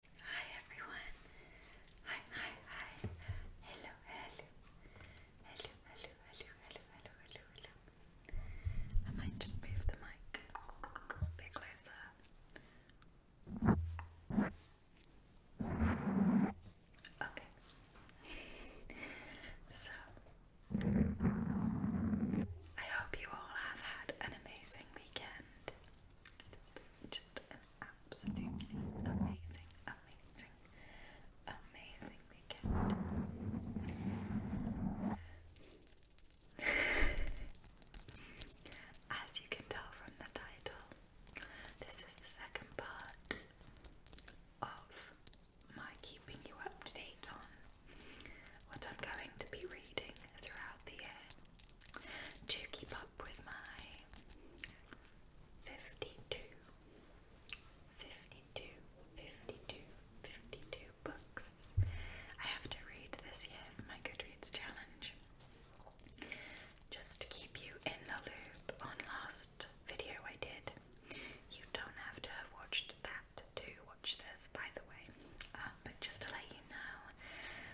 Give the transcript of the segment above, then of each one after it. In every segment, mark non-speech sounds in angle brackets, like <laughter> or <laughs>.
Hi everyone. Hi, hi, hi. Hello, hello. Hello, hello, hello, hello, hello, hello, I might just move the mic a bit closer. Okay. so I hope you all have had an amazing weekend. Just, just an absolutely amazing, amazing, amazing weekend. <laughs> As you can tell from the title, this is the second part of my keeping you up to date on what I'm going to be reading throughout the year to keep up with my 52, 52, 52, books. I have to read this year for my Goodreads challenge. Just to keep you in the loop on last video I did. You don't have to have watched that to watch this, by the way. Um, but just to let you know,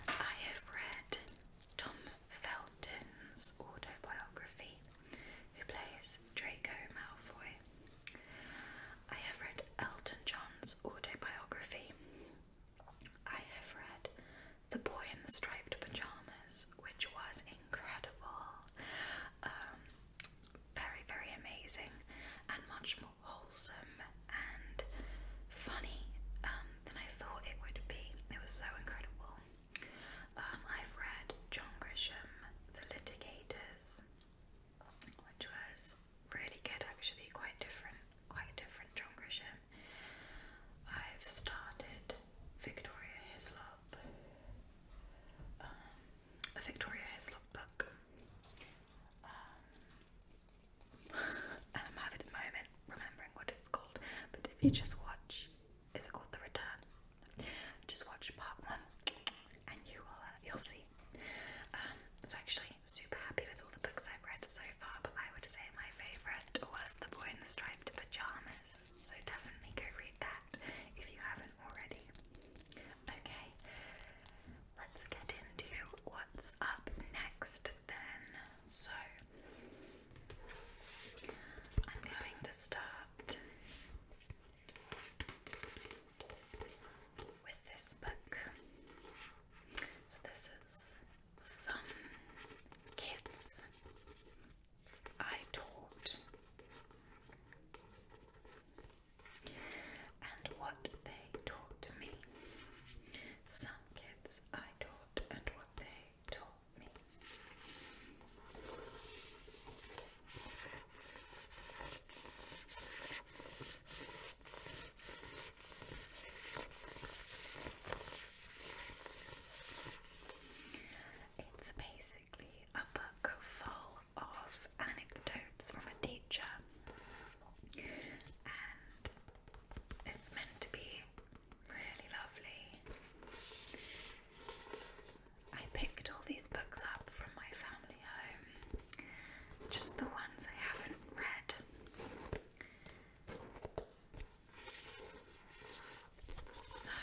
I have read Tom Felton's autobiography, who plays Draco Malfoy. I have read Elton John's autobiography. I have read The Boy in the Striped Pajamas, which was incredible. Um, very, very amazing and much more wholesome and funny um, than I thought it would be. It was so incredible. Um, I've read John Grisham, The Litigators, which was really good actually, quite different, quite a different John Grisham. I've started Victoria Hislop, um, a Victoria Hislop book. Um, and I'm having at moment remembering what it's called. But if you just watch, is it called The Return? Just watch part one, and you will uh, you'll see. Um, so actually, super happy with all the books I've read so far. But I would say my favourite was The Boy in the Striped Pajamas. So definitely go read that if you haven't already. Okay, let's get into what's what's up next then. So I'm going to start with this book. So this is Some Kids I Taught and what they taught me. Some kids I taught and what they taught me. It's basically a book full of anecdotes from a teacher, and it's meant to be really lovely. I picked all these books up from my family home, just the ones I haven't read. So,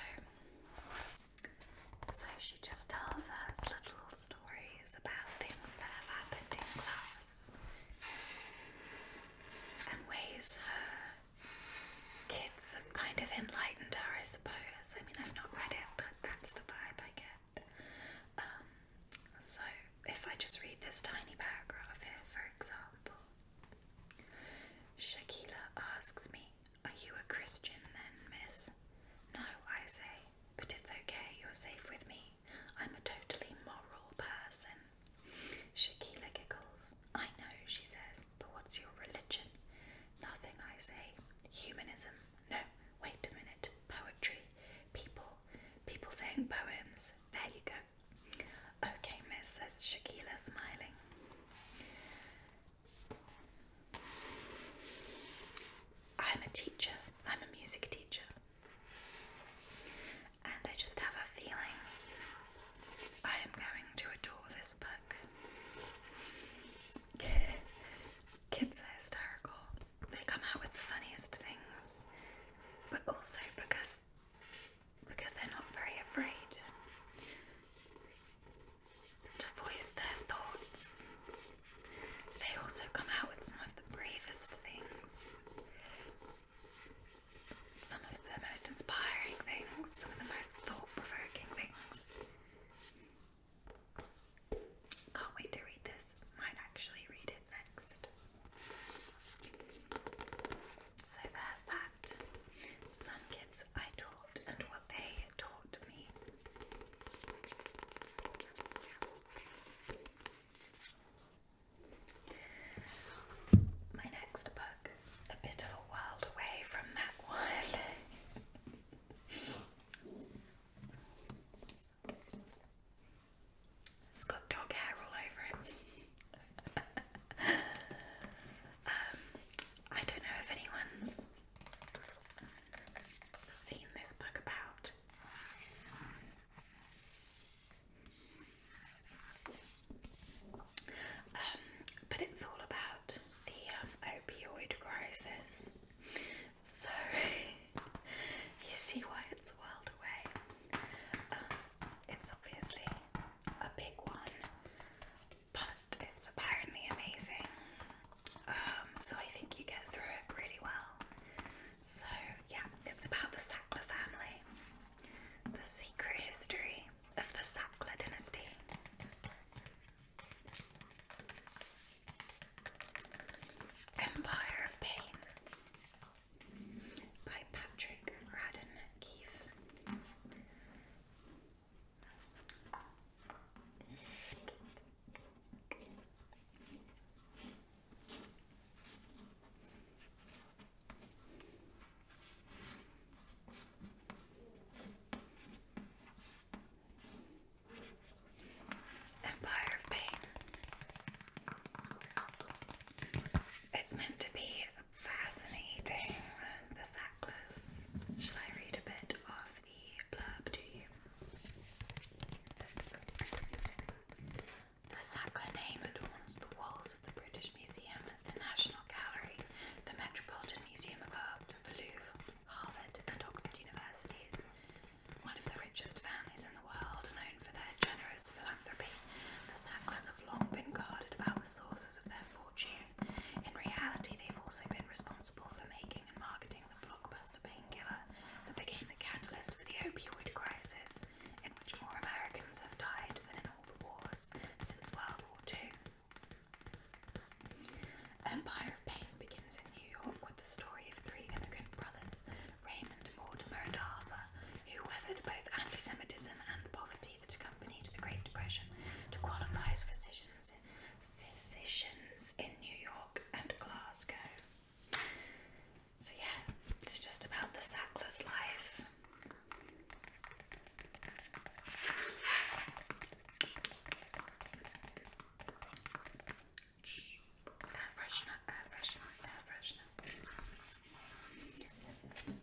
so she just tells us little stories stories about things that have happened in class and ways her kids have kind of enlightened her, I suppose. I mean, I've not read it, but that's the vibe I get. Um, so, if I just read this tiny paragraph here, for example, Shakila asks me, Are you a Christian then, miss? No, I say, but it's okay, you're safe with me. I'm a totally moral person. Shakila giggles. I know, she says, but what's your religion? Nothing, I say. Humanism. No, wait a minute. Poetry. People. People saying poems. There you go. Okay, miss, says Shakila, smiling. I'm a teacher, I'm a music teacher, and I just have a feeling I am going to adore this book. <laughs> Kids are hysterical, they come out with the funniest things, but also because because they're not very afraid to voice their thoughts they also come out with some of the bravest things, some of the most inspiring things, some of the most thought provoking things. Can't wait to read this. Might actually read it next. So there's that. Some kids I taught and what they it taught me. My next book, a bit of a world away from that one. <laughs> it's got dog hair all over it. <laughs> Um, I don't know if anyone's seen this book about. Um, but it's all about the um, opioid crisis. So <laughs> you see why it's a world away. Um, it's obviously a big one, but it's apparently amazing. Um, so I think you get through it really well. So yeah, it's about the Sackler family, the secret history of the Sackler dynasty. Empire of Pain by Patrick Radden Keefe. Empire of Pain. It's meant to be fascinating, this necklace. Shall I read a bit of the the Sackler name adorns the walls of the British Museum, the National Gallery, the Metropolitan Museum of Art, the Louvre, Harvard, and Oxford Universities. One of the richest families in the world, known for their generous philanthropy, the Sacklers have long been guarded about the sources of their fortune. In reality, they've also been responsible for making and marketing the blockbuster painkiller that became the catalyst for the opioid crisis, in which more Americans have died than in all the wars since World War II. Empire of Pain begins in New York with the story of three immigrant brothers, Raymond, Mortimer, and Arthur, who weathered both anti Semitism and poverty that accompanied the Great Depression to qualify as physicians physicians in New York and Glasgow. So, yeah, it's just about the Sackler's life.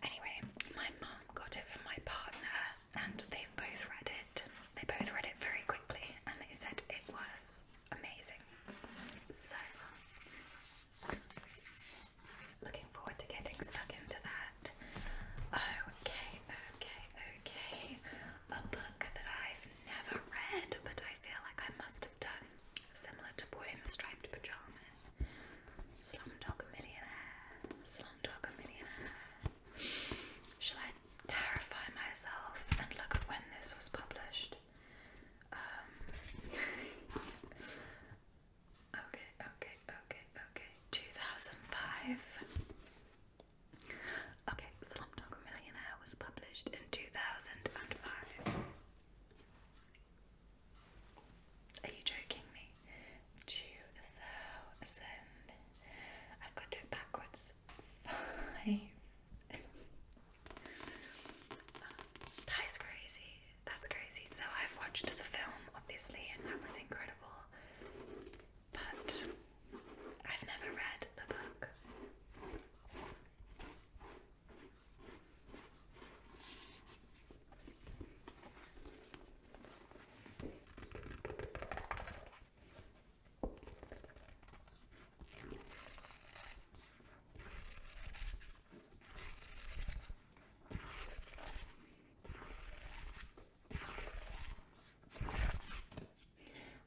Anyway, my mum got it for my partner and they've both read it. They both read it very quickly and they said it was amazing. So, looking forward to getting stuck into that. Okay, okay, okay. A book that I've never read, but I feel like I must have done, similar to Boy in the Striped Pajamas. Slumdog Millionaire, Slumdog Millionaire. Shall I terrify myself and look at when this was published? Um, <laughs> okay, okay, okay, okay. 2005. Okay, Slumdog Millionaire was published in 2005. Are you joking me? 2000. I've got to do it backwards. Five. <laughs> that is crazy. That's crazy. So I've watched the film, obviously, and that was incredible. But I've never read the book.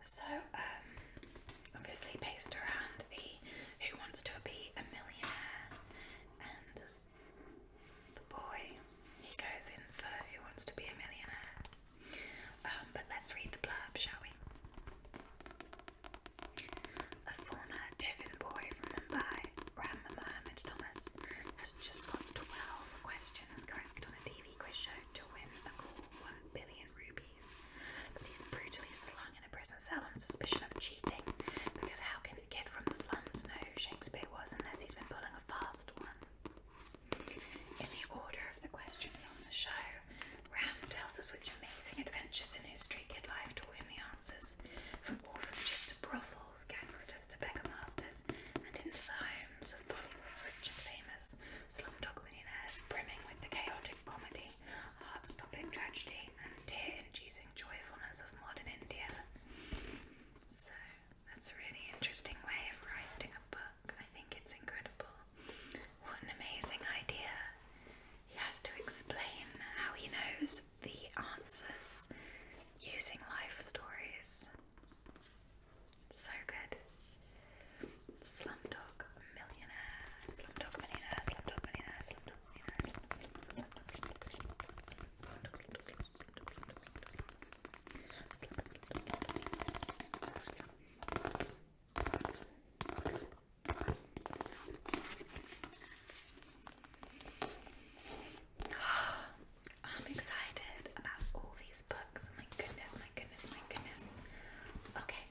So, um, obviously, based around the Who Wants to Be a Millionaire and the boy, he goes in for Who Wants to Be a Millionaire. Um, but let's read the blurb, shall we? A former Tiffin boy from Mumbai, Ram Thomas, has just got 12 questions correct on a TV quiz show to win a cool 1 billion rupees. But he's brutally slung in a prison cell on suspicion of cheating, because how can a kid from the slums know who Shakespeare was unless he's been pulling a fast one? In the order of the questions on the show, Ram tells us which amazing adventures in history give life taught him the answers, from orphanages to brothels, gangsters to beggar masters, and into the homes of Bollywood's rich famous slumdog millionaires, brimming with the chaotic comedy, heart tragedy, and tear-inducing joyfulness of modern India. So that's a really interesting way of writing a book. I think it's incredible. What an amazing idea. He has to explain how he knows the answers using life stories. So good. Slumdog millionaire, slumdog millionaire, slumdog millionaire, slumdog millionaire, slumdog <sighs> I'm excited about all these books. My goodness, my goodness, my goodness. Okay,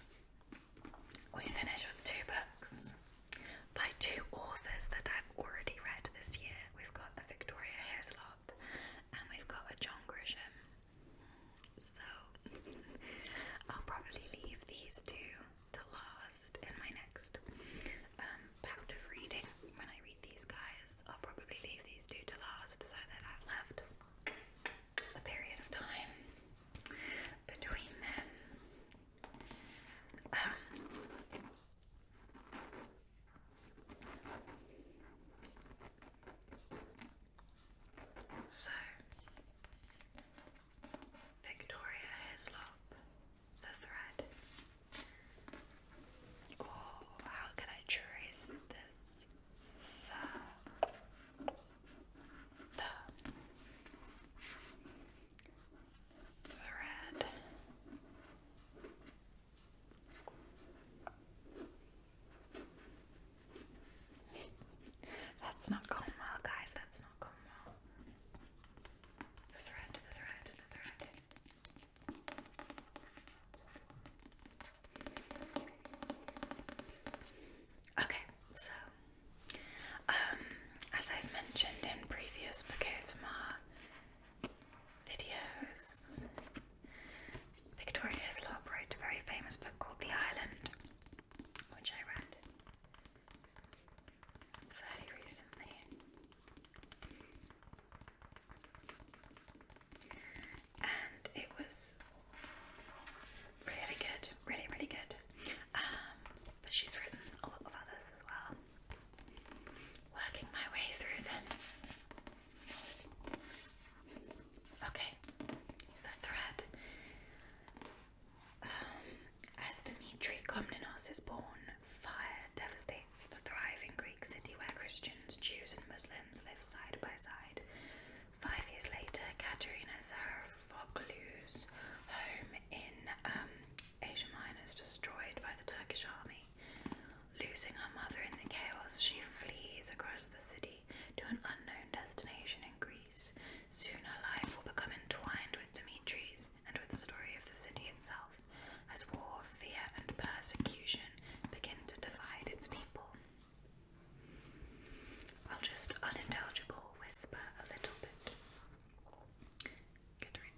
we finish with two books by two authors that I've already read this year we've got a Victoria Heslop, and we've got a John Grisham. So <laughs> I'll probably leave these two to last in my next um, of reading. When I read these guys, I'll probably leave these two to last so that I've left a period of time between them. Um, so, Victoria Hislop, the thread. Oh, how can I trace this? The, the thread. That's not going well, guys. That's not going well. The thread, the thread, the thread. Okay, so um, as I've mentioned in previous ASMR Victoria Hislop wrote a very famous book called The Island, which I read fairly recently. And it was really good, really, really good. Um, but she's written a lot of others as well. Working my way through them. Okay, the thread. Um, as Dimitri Komnenos is born, fire devastates the thriving Greek city where Christians, Jews, and Muslims live side by side. Five years later, Katerina Sarafoglu's home in um, Asia Minor is destroyed by the Turkish army. Losing her mother in the chaos, she flees across the city to an unknown destination in Greece. Soon her life will become entwined with Dimitri's and with the story of the city itself, as war, fear, and persecution begin to divide its people. I'll just unintelligible whisper a little bit. Get rid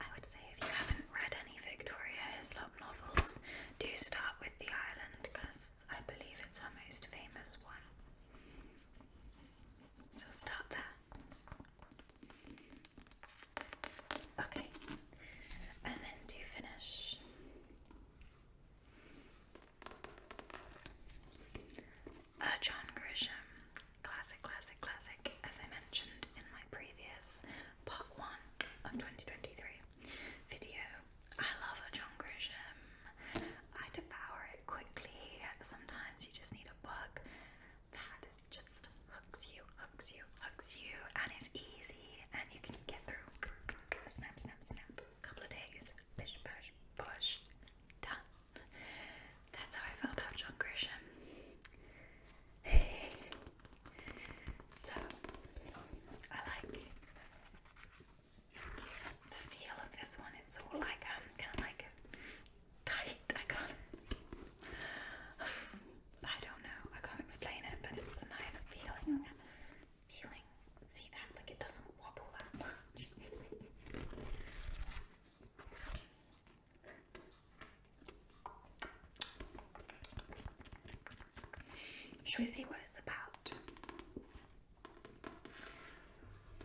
I would say if you haven't read any Victoria Hislop novels, do start with The Island because I believe it's our most famous one. So start there. Okay, and then to finish, uh, John Grisham, classic, classic, classic, as I mentioned in my previous part one of 2023 video. I love a John Grisham. I devour it quickly. Sometimes you just need a book that just hooks you, hooks you, hooks you, and is easy, and you can get through. Snap, snap, snap. Couple of days. Bish, push, push. Done. That's how I felt about John Grisham. so I like the feel of this one. It's all like um kind of like tight. I can't. I don't know. I can't explain it, but it's a nice feeling. Feeling. See that? Like it doesn't wobble that much. Should we see what it's about?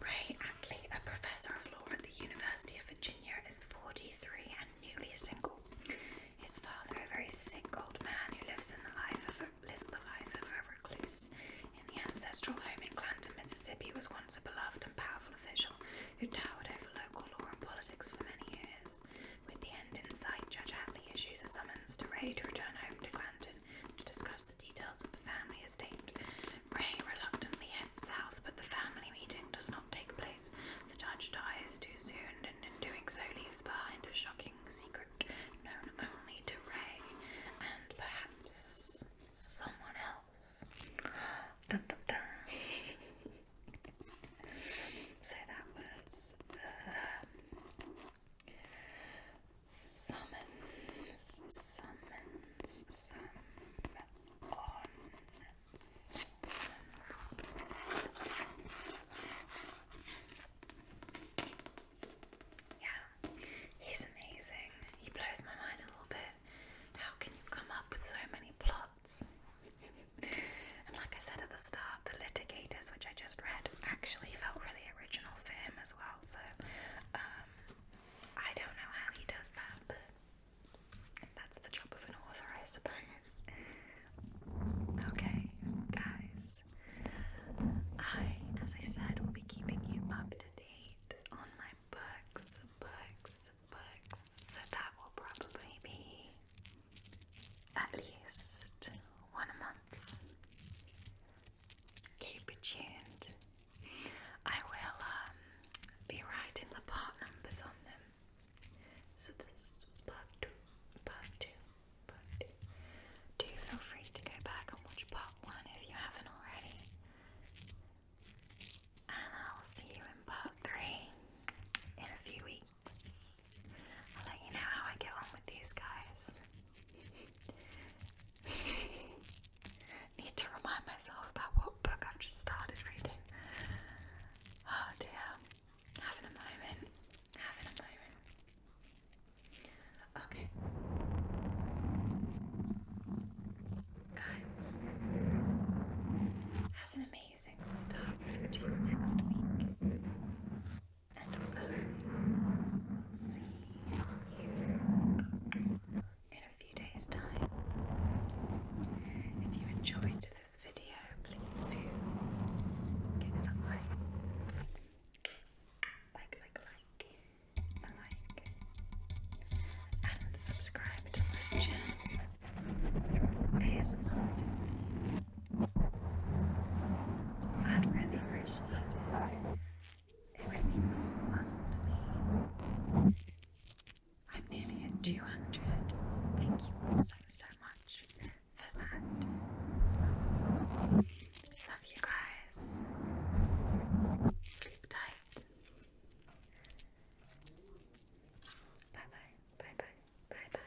Ray Ackley, a professor of law at the University of Virginia, is 43 and newly single. His father, a very sick old man who lives in the life of lives the life of a recluse, in the ancestral home in Clanton, Mississippi, was once a beloved and powerful official who towered over local law and politics for many years. With the end in sight, Judge Hadley issues a summons to Ray to return home to Clanton to discuss the details of the family estate. Ray reluctantly heads south, but the family meeting does not take place. The judge dies too soon, and in doing so, leaves behind a shocking secret known only to Ray and perhaps someone else house. Dun, dun, dun. that was uh, summons, summons, summons on summons. Yeah, he's amazing. He blows my mind a little bit. How can you come up with so many plots? and like I said at the start, the litigators, which I just read, actually felt really original for him as well. So um, I don't know how he does that, but that's the job of an author, I suppose. okay, guys. I, as I said, will be keeping you up to date on my books, books, books. So that will probably be at least one a month. Keep it tuned. I will um, be writing the part numbers on them. So this was part two, part two, part two. Do feel free to go back and watch part one if you haven't already. And I'll see you in part three in a few weeks. I'll let you know how I get on with these guys. <laughs> Need to remind myself about what book I've just started reading. Oh dear. Having a moment. Having a moment. Okay. Guys, have an amazing start to next week. And I uh, will see you in a few days' time. If you enjoyed this video, please do give it a like. Like, like, like like and subscribe to my channel ASMR Symphony. I'd really appreciate it. It to me. I'm nearly at 200. Thank you so, so much for that. Love you guys. Sleep tight. Bye bye. Bye bye. Bye bye.